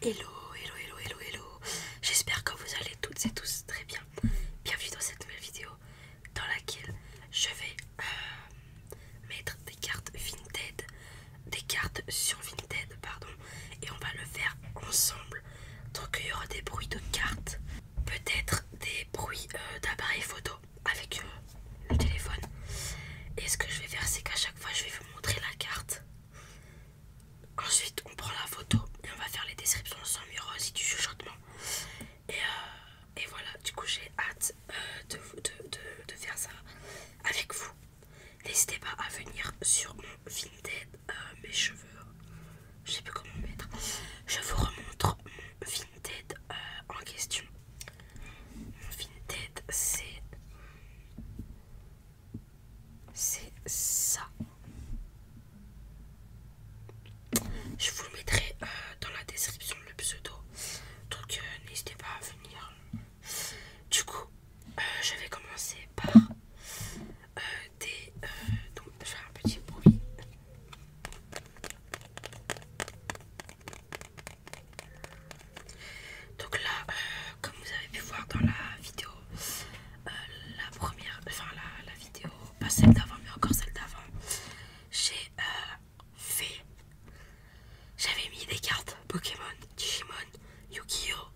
Hello, hello, hello, hello, hello. J'espère que vous allez toutes et tous très bien. Bienvenue dans cette nouvelle vidéo dans laquelle je vais euh, mettre des cartes Vinted, des cartes sur Vinted, pardon, et on va le faire ensemble. Donc il y aura des bruits de cartes, peut-être des bruits euh, d'appareil photo avec euh, le téléphone. Et ce que je vais faire, c'est qu'à chaque fois, je vais vous montrer la carte. Ensuite, on prend la photo et on va faire les descriptions sans mur aussi du chuchotement. Et, euh, et voilà, du coup, j'ai hâte. Euh, de, de, faire ça avec vous. N'hésitez pas à venir sur mon Vinted, euh, mes cheveux, je sais plus comment mettre. Je vous remontre mon Vinted euh, en question. Mon Vinted, c'est. C'est ça. Je vous le mettrai dans la description le pseudo. Donc n'hésitez pas à venir du coup, euh, euh, euh, je vais commencer par des. donc, faire un petit bruit. Donc là, comme vous avez pu voir dans la vidéo, la première, enfin la, la vidéo, pas celle d'avant, mais encore celle d'avant, j'ai j'avais mis des cartes Pokémon, Digimon, Yu-Gi-Oh!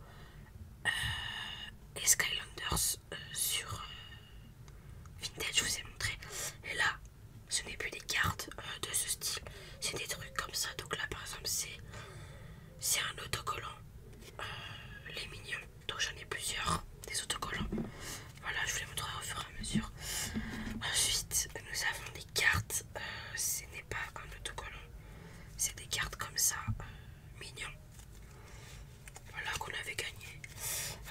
Euh, et Skylanders euh, sur euh, Vintage, je vous ai montré. Et là, ce n'est plus des cartes de ce style, c'est des trucs comme ça. Donc là, par exemple, c'est un autocollant, les mignons. Donc j'en ai plusieurs, des autocollants. Voilà, je vous les montrerai au fur et à mesure. Ensuite, nous avons des cartes euh, ce n'est pas comme tout autocollant, c'est des cartes comme ça, euh, mignon. Voilà qu'on avait gagné.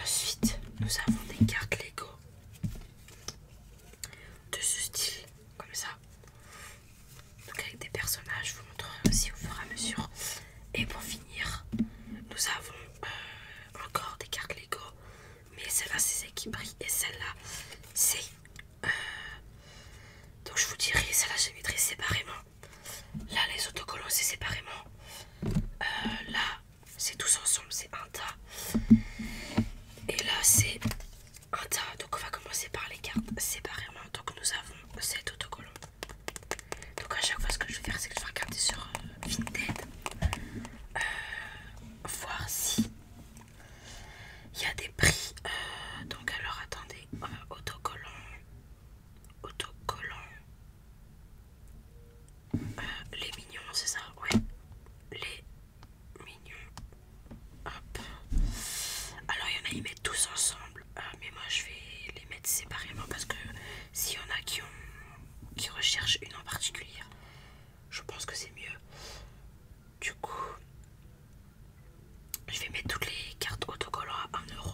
Ensuite, nous avons des cartes Lego de ce style, comme ça. avec des personnages, je vous montrerai aussi euh, au fur et à mesure. Et pour finir, nous avons encore des cartes Lego mais celle-là c'est celle qui brille et celle-là c'est euh, donc je vous dirai celle-là je les séparément là les autocollants c'est séparément euh, là c'est tous ensemble c'est un tas et là c'est un tas donc on va commencer par les cartes séparément donc nous avons cet autocollants donc à chaque fois ce que je vais faire c'est que je vais regarder sur euh, Vinted voir si il y a des prix. Euh, donc alors attendez, autocollants, euh, autocollant, autocollant. Euh, les mignons, c'est ça, Oui, Les mignons. Alors il y en a, ils mettent tous ensemble. mais moi je vais les mettre séparément parce que s'il y en a qui qui recherchent une en particulier, je pense que c'est mieux. Du coup, je vais mettre toutes les cartes autocollants à 1 euro.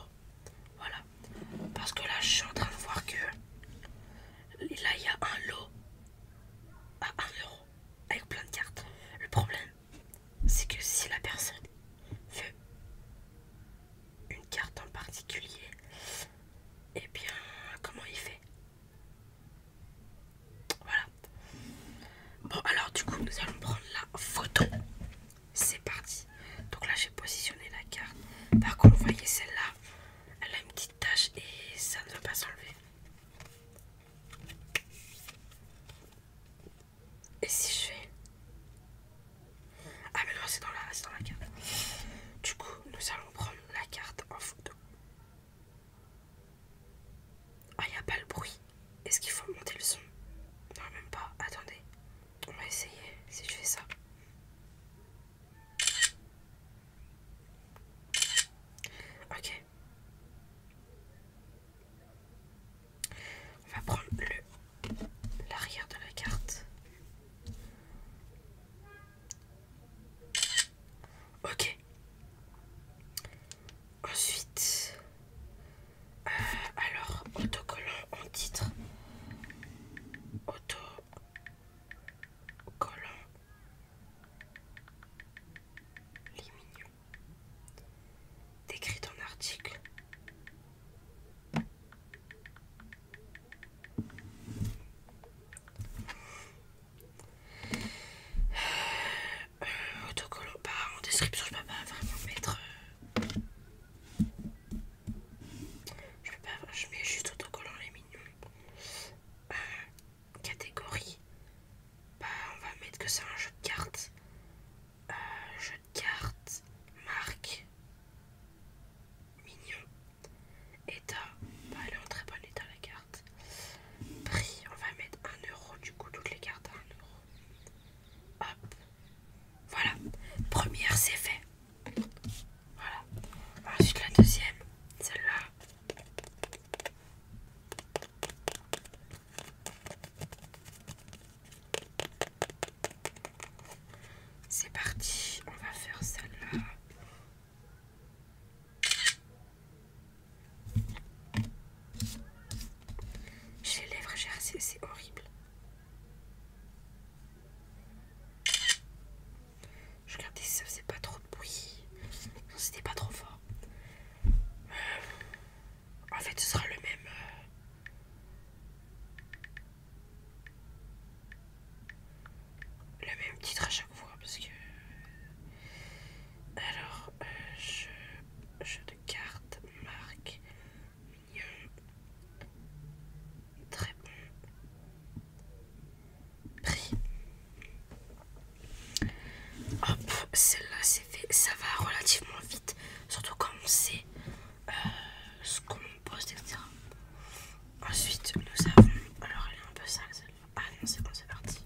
Voilà. Parce que là, je suis en train de voir que là, il y a un lot à 1 euro avec plein de cartes. Le problème, c'est que si la personne veut une carte en particulier, et eh bien, comment il fait voilà. Bon alors du coup nous allons prendre la photo. C'est parti. Donc là j'ai positionné la carte. Par contre vous voyez celle-là, elle a une petite tache et ça ne va pas s'enlever. Et si je fais... Ah mais non c'est dans, la... dans la carte. Du coup nous allons prendre la carte en photo. Ah, il n'y a pas le bruit. Est-ce qu'il faut monter le son Non, même pas. Attendez. On va essayer si je fais ça. Ok. On va prendre l'arrière de la carte. Ok. Ensuite, euh, alors autocollant en titre, autocollant, les mignons, décrit en article. Euh, autocollant, bah en description je peux pas vraiment mettre. Euh. Je peux pas, je mets juste autocollant les mignons. Euh, catégorie, bah on va mettre que c'est un jeu de cartes. jeu de cartes, marque, mignon, État, bah, elle est en très bon état la carte. Prix, on va mettre 1 euro, du coup toutes les cartes à 1 euro. Hop, voilà, première c'est fait. Voilà, ensuite la deuxième, celle-là. C'est parti, on va faire celle-là. J'ai les lèvres gercées, c'est horrible. Je regardais si ça faisait pas trop de bruit. Non, c'était pas trop fort. Euh, en fait, ce sera le même. Euh, le même titre à chaque fois parce que alors euh, jeu, de cartes marque mignon très bon prix hop celle-là c'est fait ça va relativement vite surtout quand on sait euh, ce qu'on poste etc ensuite nous avons alors elle est un peu sale ah non, c'est bon, c'est parti.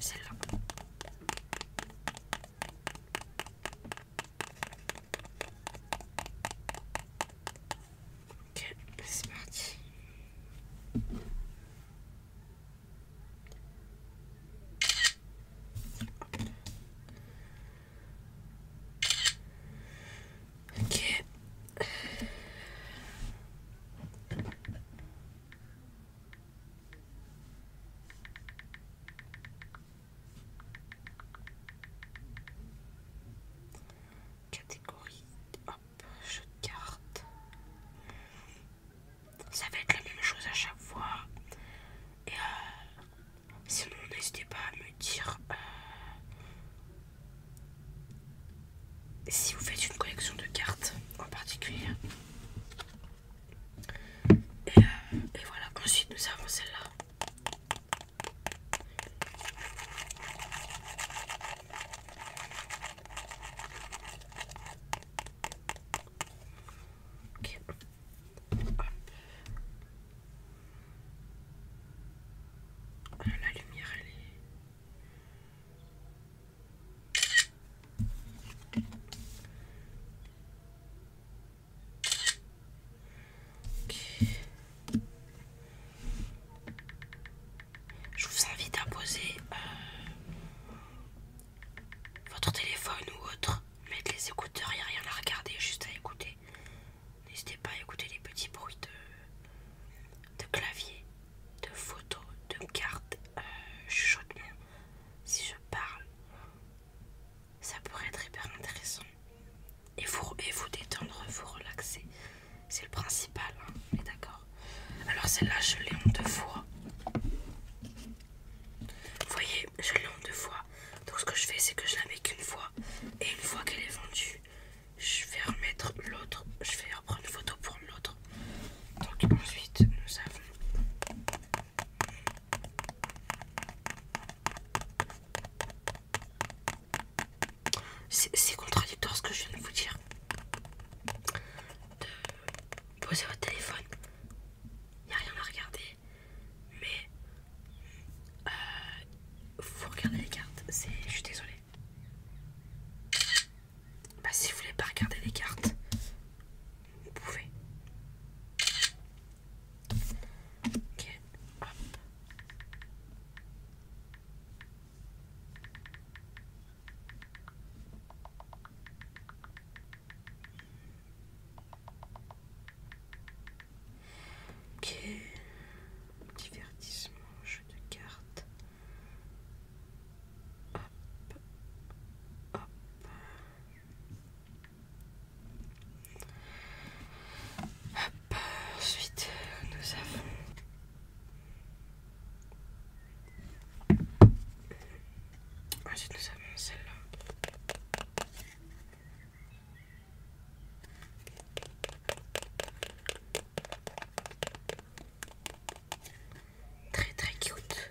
Celle-là. Ok, c'est parti. Ok. Catégorie, hop, jeu de cartes. Ça va être la même chose à chaque fois. Et euh, Sinon, n'hésitez pas à me dire euh, si vous faites une collection de cartes en particulier. Et, euh, voilà, ensuite nous avons celle-là. Ah, la lumière, elle est... Je vous invite à poser euh, votre téléphone ou autre, mettre les écouteurs, il n'y a rien à regarder, juste à écouter. N'hésitez pas à écouter les petits bruits de, de clavier, de photos, de cartes, euh, chaude Si je parle, ça pourrait être hyper intéressant. Et vous, détendre, vous relaxer. C'est le principal, hein, d'accord Alors celle-là, je l'ai en deux fois. Vous voyez, je l'ai en deux fois. Donc ce que je fais, c'est que je la mets qu'une fois. Et une fois qu'elle est vendue, je vais remettre l'autre, je vais reprendre une photo pour l'autre. Donc ensuite nous avons c'est contradictoire ce que je viens de vous dire. De poser votre téléphone, il n'y a rien à regarder, mais vous euh, regardez les cartes, je suis désolée. Bah, si vous voulez pas regarder les cartes, vous pouvez. Ok, hop. Ok. Divertissement, jeu de cartes. Hop. Hop. Hop. Ensuite, nous avons. Ensuite, nous avons celle-là. Très très cute.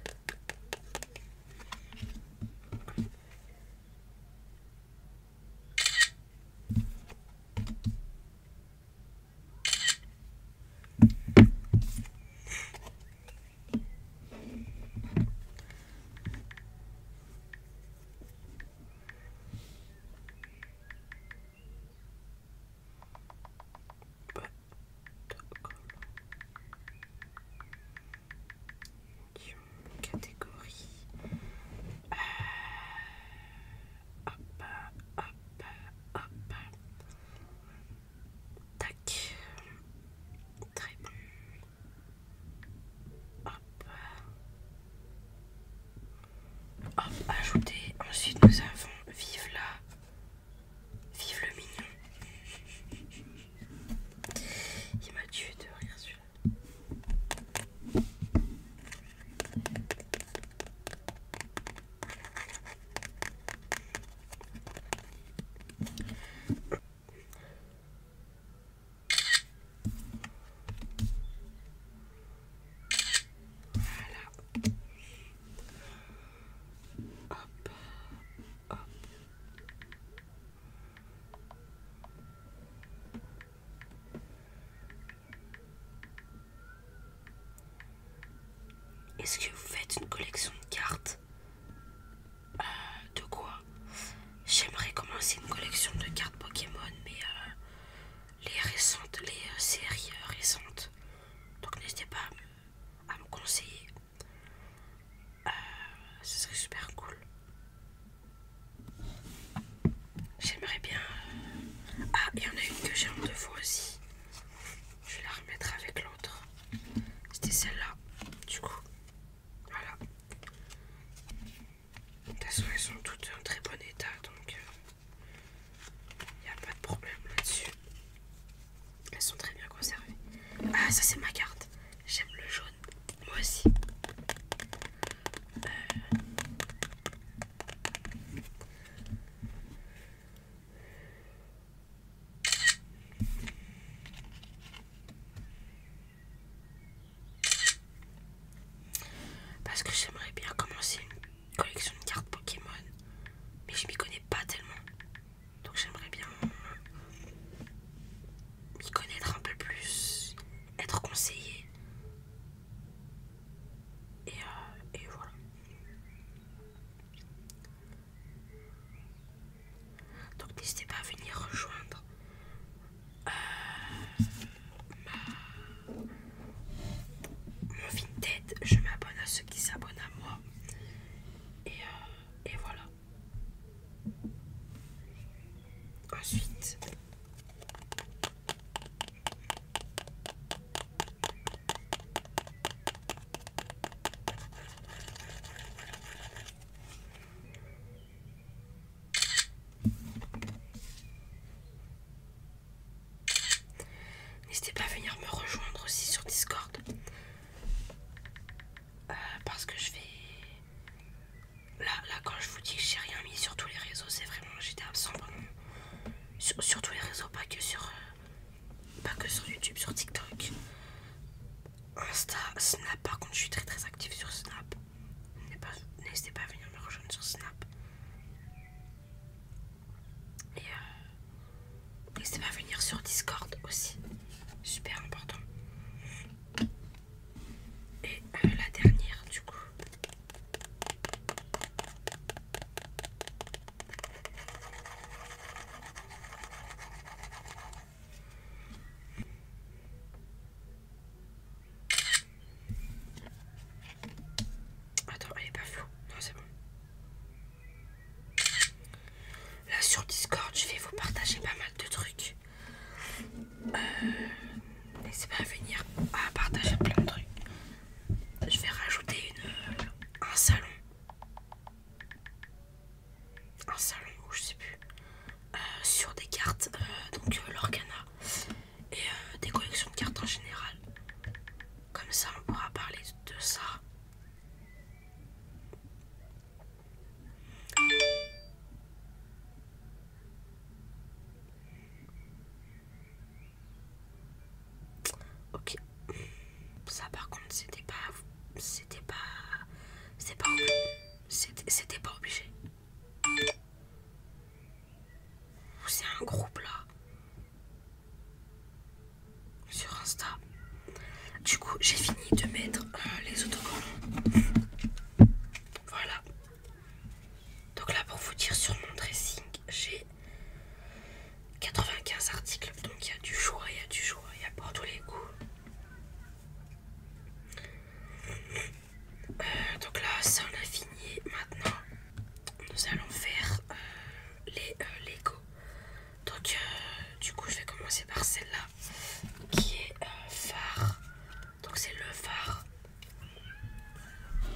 Catégorie. Euh, hop, hop, hop. Tac. Très bien. Hop. ajoutez, ajouter. Ensuite, nous avons vive la. Vive le mignon. Il m'a tué de rire celui-là. Est-ce que vous faites une collection de cartes euh, De quoi J'aimerais commencer une collection de cartes Pokémon, mais euh, les récentes, les euh, séries euh, récentes. Donc n'hésitez pas à me, conseiller. ce serait super cool. J'aimerais bien... Ah, il y en a une que j'ai en deux fois aussi. Je vais la remettre avec l'autre. C'était celle-là, du coup. Voilà. De toute façon, elles sont toutes en très bon état, donc il euh, n'y a pas de problème là-dessus. Elles sont très bien conservées. Ah, ça c'est ma carte. J'aime le jaune. Moi aussi. Euh. Parce que j'aimerais bien commencer une collection de cartes Pokémon, mais je m'y connais pas tellement. Donc j'aimerais bien m'y connaître un peu plus, être conseillé. Et, euh, voilà. Donc n'hésitez pas à venir rejoindre mon euh, tête je m'abonne à ceux qui s'abonnent à moi. Et, euh, et voilà. Ensuite, N'hésitez pas à venir me rejoindre aussi sur Discord. Euh, parce que je vais... Là, quand je vous dis que j'ai rien mis sur tous les réseaux, c'est vraiment... J'étais absent Sur, tous les réseaux, pas que sur... Euh, pas que sur YouTube, sur TikTok. Insta, Snap, par contre je suis très très active sur Snap. N'hésitez pas à venir me rejoindre sur Snap. Et euh, n'hésitez pas à venir sur Discord aussi. Super important. Et euh, la dernière du coup. Attends, elle est pas floue. Non, c'est bon. Là sur Discord, je vais vous partager pas mal de trucs. Euh, n'hésitez pas à venir à partager plein de trucs. Je vais rajouter euh, un salon. Un salon, ou je sais plus. Euh, sur des cartes, euh, donc euh, l'Organa et des collections de cartes en général. Comme ça, on pourra parler de ça. Ok, ça par contre c'était pas, c'était pas, c'était pas, c'était pas obligé. C'est un groupe là. Sur Insta. Du coup, j'ai fini de mettre euh, les autocollants. Voilà. Donc là, pour vous dire sur mon dressing, j'ai 95 articles. Donc il y a du choix, il y a du choix, il y a pour tous les goûts. Euh, donc là, ça on a fini. Maintenant, nous allons faire euh, les euh, Lego. Donc, du coup, je vais commencer par celle-là qui est phare. Donc, c'est le phare.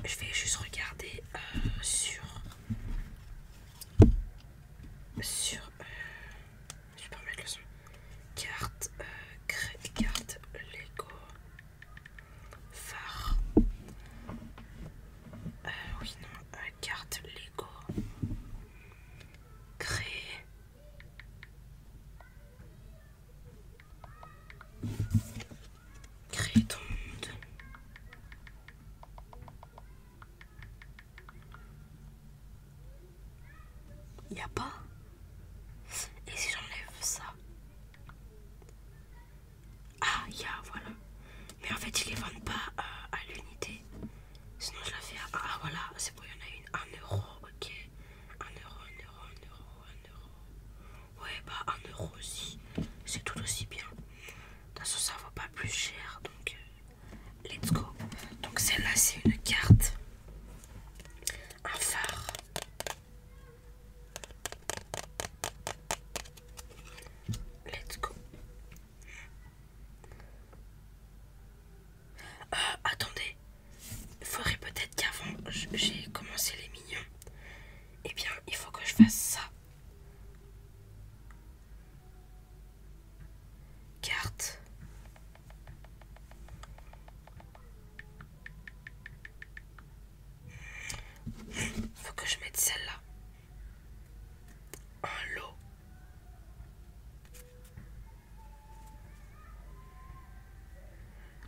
Je vais juste regarder sur. Sur. Je vais pas remettre le son. Carte, euh, carte, Lego, phare. Euh, oui, non, euh, carte, Lego, créer. Créer ton monde. Il n'y a pas. Et si j'enlève ça Ah, il y a, voilà. Mais en fait, ils les vendent pas euh, à l'unité. Sinon, je la fais à. Ah, voilà, c'est bon, il y en a une. 1 ok. 1 euro, 1 euro, 1 euro, 1 euro. Ouais, bah 1 euro aussi. C'est tout aussi bien. De toute façon, ça vaut pas plus cher. Donc, euh, Let's go. Donc celle-là c'est une carte, un phare, let's go. Euh, attendez, il faudrait peut-être qu'avant j'ai commencé les mignons, eh bien il faut que je fasse ça. Carte, il Faut que je mette celle-là. Un lot.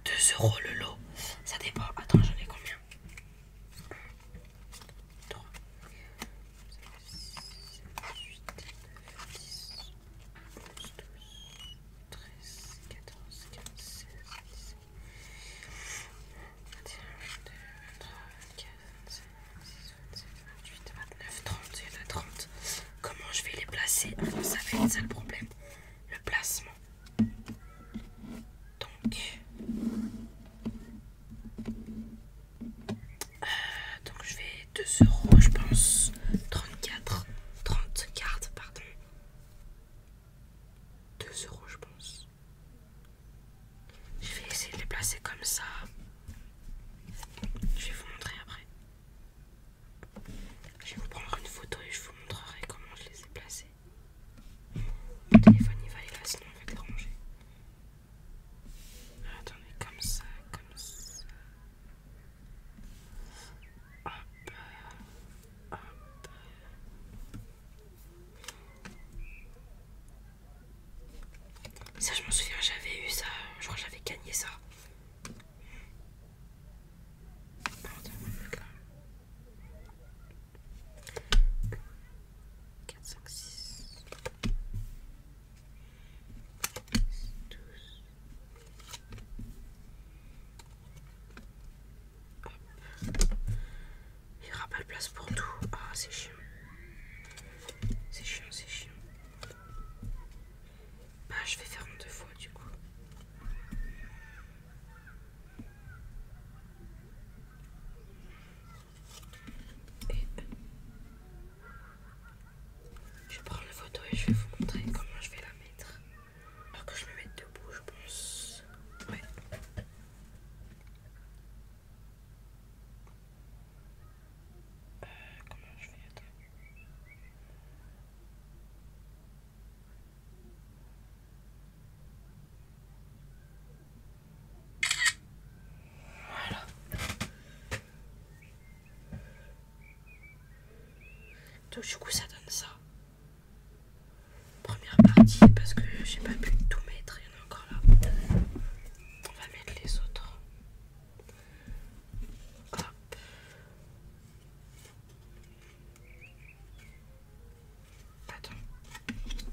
2 euros le lot. Ça dépend. Attends, j'en ai combien Trois. 7, 8, 9, 10, 14, 15, 16, 21, 30. Comment je vais les placer ah ça fait ça le problème. Le placement. Donc. Euh, donc je vais 2 euros, je pense. 34, 30 cartes, pardon. 2 euros, je pense. Je vais essayer de les placer comme ça. Je vais vous montrer après. Je vais vous prendre une photo et je vous montrerai comment je les ai placés. Mon téléphone il va aller là, sinon on va les ranger, attendez, comme ça, comme ça. Ça je m'en souviens, j'avais eu ça, je crois que j'avais gagné ça. Il n'y aura pas de place pour tout. Ah, c'est chiant. C'est chiant, c'est chiant. Bah, je vais faire en deux fois du coup. Et je prends la photo et je vais vous montrer comment je vais la mettre. Alors que je me mets debout, je pense. Ouais. Euh, comment je vais Voilà. Donc du coup ça donne ça. Première partie parce que j'ai pas pu tout mettre, il y en a encore là. On va mettre les autres. Hop. Attends.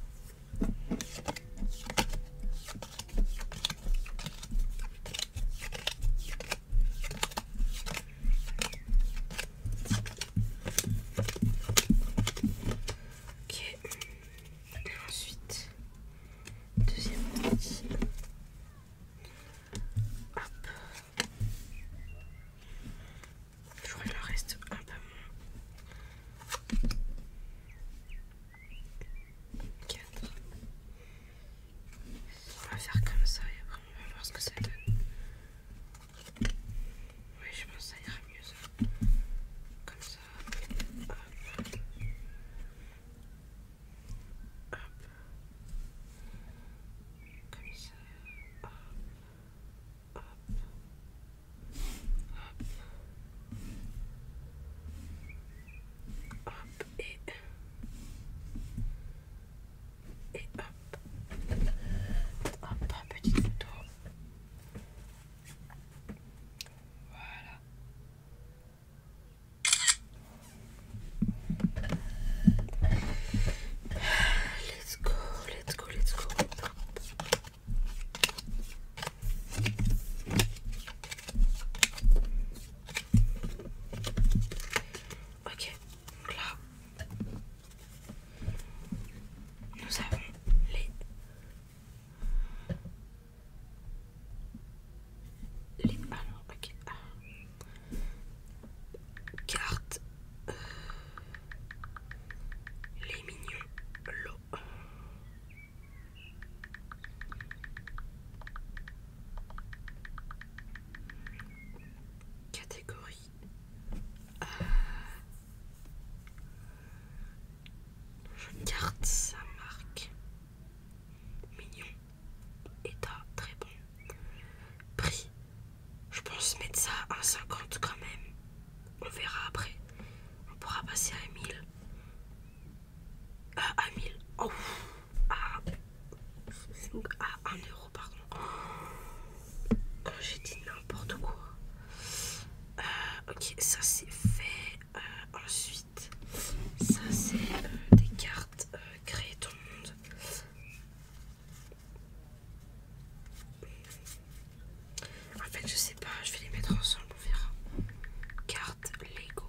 Ok. ensuite, deuxième partie. Hop. Je crois reste un peu moins. 4 on va faire comme ça et après on va voir ce que ça donne. Oui, je pense que ça ira mieux ça. Comme ça. Hop. Hop. Comme ça. Hop. Hop. Hop et... Et hop. Hop, petite photo. Voilà. Let's go, let's go, let's go. Ok, donc là, nous avons les... les... Ah, cartes Carte. Euh, les mignons. L'eau. Catégorie. je garde sa marque. Mignon. État très bon. Prix. Je pense mettre ça à 1,50 quand même. On verra après. On pourra passer à 1000 à 1000 à, 1 euro pardon oh, j'ai dit n'importe quoi euh, ok ça c'est fait euh, ensuite ça c'est euh, des cartes ton monde en fait je sais pas je vais les mettre ensemble on verra cartes Lego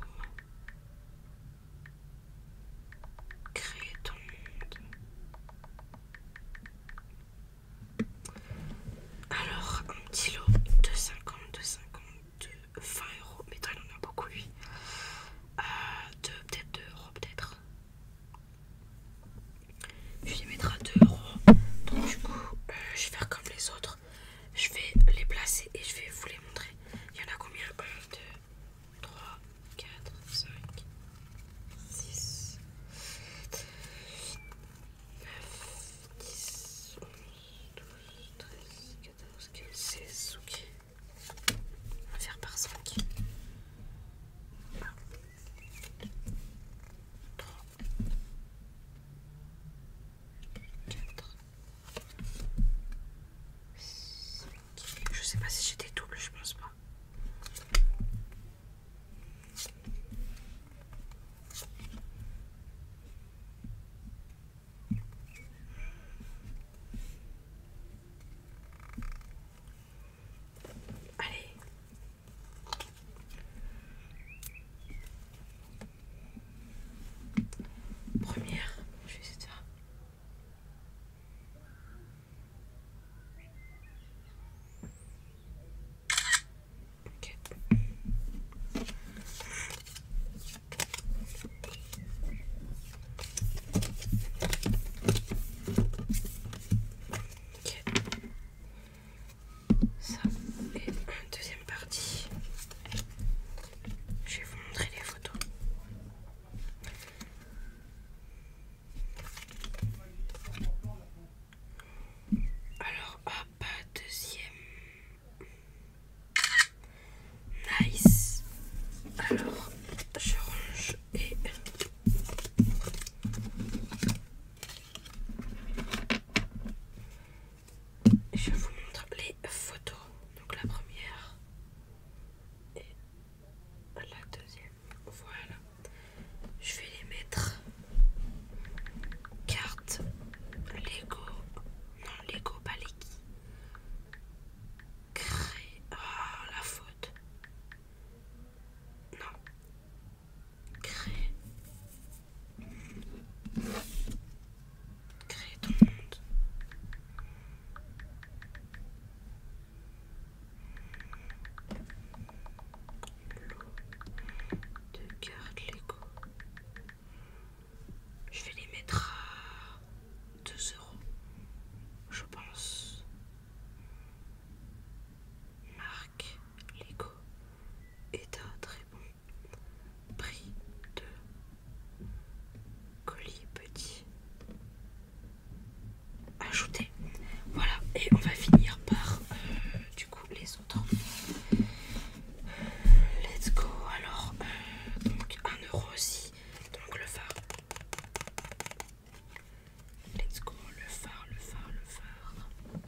Créer ton monde. Alors, un petit lot de 50, de 50, de 20 euros. Mais toi, il en a beaucoup, lui. Euh, peut-être 2 euros, peut-être. Je lui mettre 2 euros. Donc, du coup, euh, je vais faire comme les autres. Je vais les placer et je vais vous les montrer. Il y en a combien 1, 2, 3, 4, 5, 6, 7 9, 10, 11, 12, 13, 14, 15, 16. Ok. On va faire par 5. 1, 2, 3, 4, je sais pas si j'ai des doubles, je pense pas. Allez. Première, je vais essayer de faire. un... ok. Ça et deuxième partie. Je vais vous montrer les photos. Alors, hop, deuxième. Nice. Alors, je range et je vous montre les photos. Donc la première et la deuxième. Voilà. Je vais les mettre carte Lego. Non, Lego leki, Créer. ah la faute. Non. Créer. Créer ton monde. L'eau de garde Lego. Je vais les mettre à 2 euros, je pense. Marc Lego est un très bon Prix de colis petit ajouté. Voilà, et on va finir par euh, du coup les autres. Let's go. Alors, euh, donc 1 euro aussi. Donc le phare. Let's go, le phare, le phare, le phare. Ça va mettre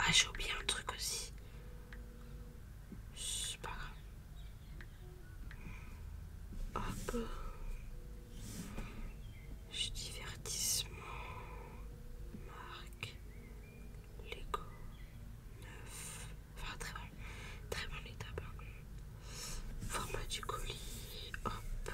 Ah, j'ai oublié un truc aussi. C'est pas grave. Hop. Je divertissement. Marque. Lego. Neuf. Enfin, très bon. Très bon étape. Hein. Format du colis. Hop.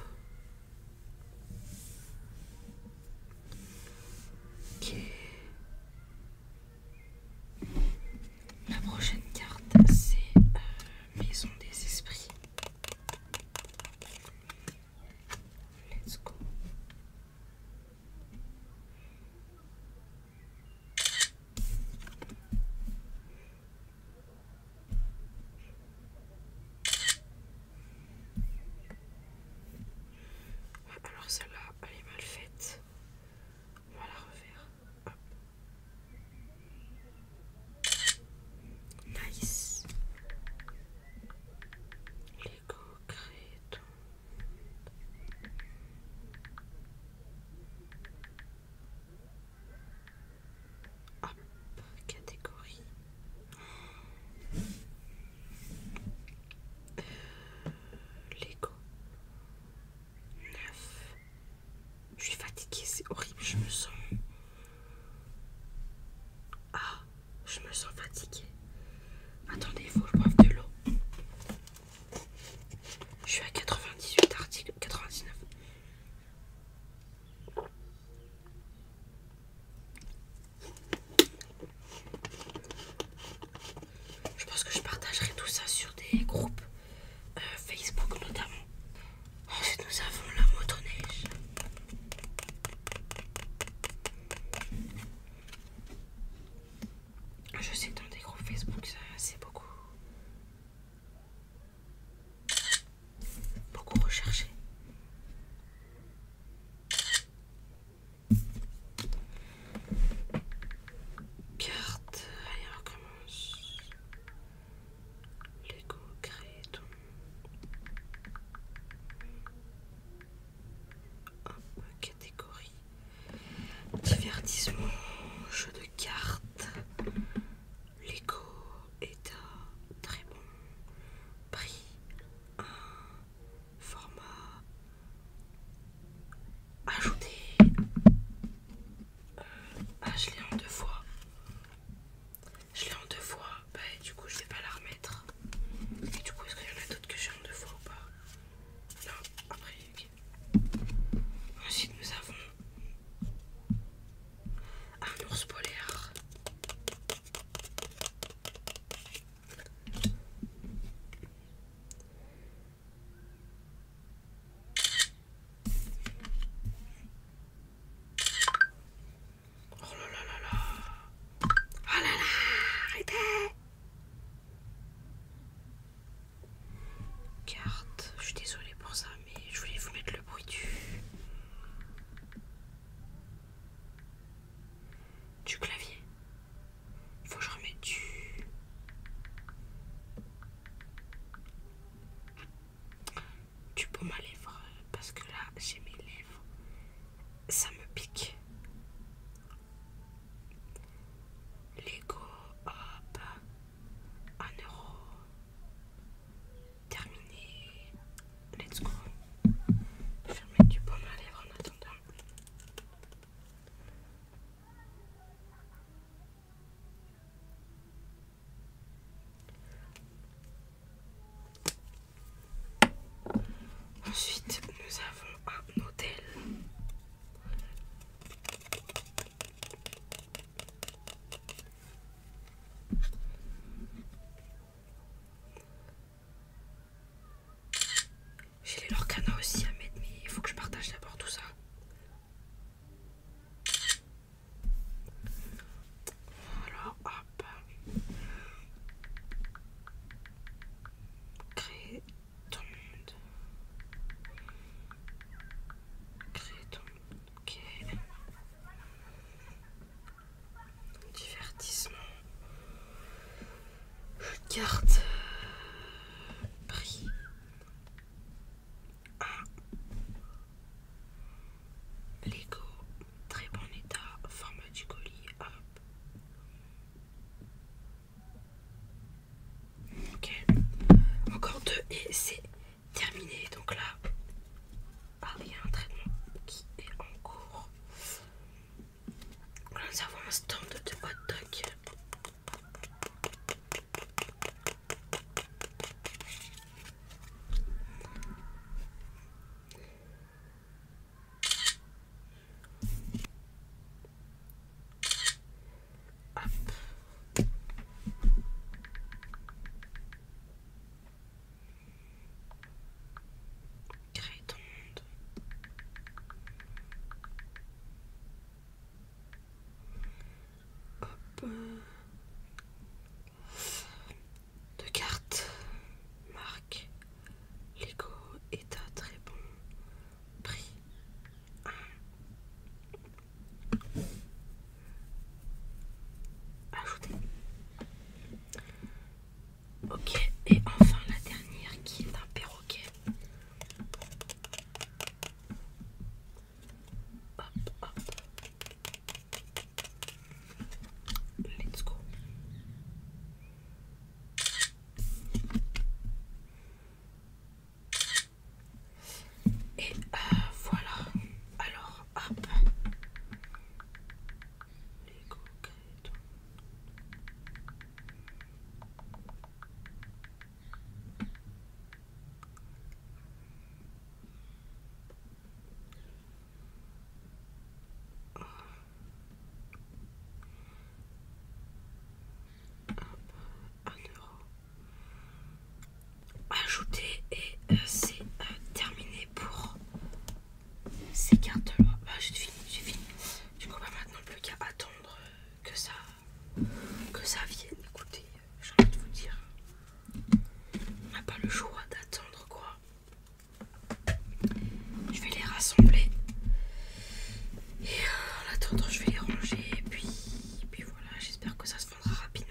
La prochaine carte, c'est euh, Maison des Esprits. Let's go. Alors celle-là, elle est mal faite. On va la refaire. Hop. Nice. Lego tout. Hop, catégorie. Lego 9 je suis fatiguée c'est horrible je me sens ah je me sens fatiguée attendez il faut que je boive de l'eau je suis à 98 articles 99 je pense que je partagerai tout ça sur des groupes euh, Facebook notamment. Ensuite nous avons la motoneige. Je sais dans des groupes Facebook ça c'est beaucoup beaucoup recherché. Carte, allez recommence. Lego créton. Hop, catégorie. Divertissement, jeu de cartes. Lego est très bon prix. Un format ajouter euh, ah, je l'ai en deux fois je l'ai en deux fois bah du coup je vais pas la remettre et du coup est-ce qu'il y en a d'autres que j'ai en deux fois ou pas non après ok ensuite nous avons un ours polaire Oh là là là là Oh là là Arrêtez Carte, je suis désolée pour ça, mais je voulais vous mettre le bruit du du clavier. Faut que je remette du. du pomme à lèvres parce que là j'ai mes lèvres. Ça me pique. Lego, hop, un euro. Terminé. Let's go. Je du pomme à lèvres en attendant. Ensuite, nous avons un hôtel. J'ai les Lorcana aussi à mettre, mais il faut que je partage d'abord tout ça. Voilà, hop. Créer ton monde. Créer ton monde. Ok. Divertissement. carte euh, Prix. Un. Lego. Très bon état. Format du colis. Hop. Ok. Encore deux et c'est terminé. Donc là, ah oui, il y a un traitement qui est en cours. nous avons un stand de hot de Crétonde. Hop. Euh, Deux cartes. Marque. Lego état, très bon prix. Ok, et enfin la dernière qui est un perroquet. Hop, hop. Let's go. Et euh, voilà. Alors, hop les euro Ajouter et euh, c'est euh, terminé pour ces cartes là. Bah, j'ai fini, j'ai fini. ne crois pas maintenant, plus qu'à attendre euh, que ça, que ça vienne. Écoutez, j'ai envie de vous dire, on n'a pas le choix d'attendre quoi. Je vais les rassembler. Et euh, en attendant, je vais les ranger. Et puis, puis voilà, j'espère que ça se vendra rapidement.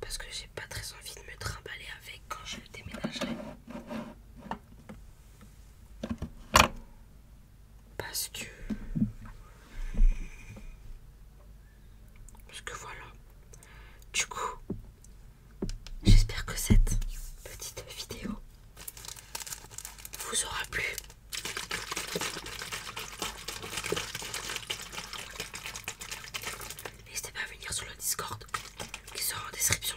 Parce que j'ai pas très envie de me trimballer avec quand je je déménagerai. Parce que... Parce que voilà. Du coup, j'espère que cette petite vidéo vous aura plu. N'hésitez pas à venir sur le Discord qui sera en description.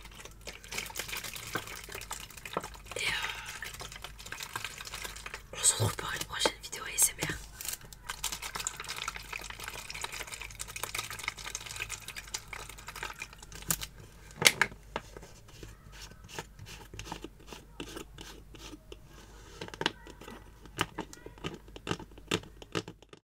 Et euh, on se retrouve pour une prochaine vidéo ASMR.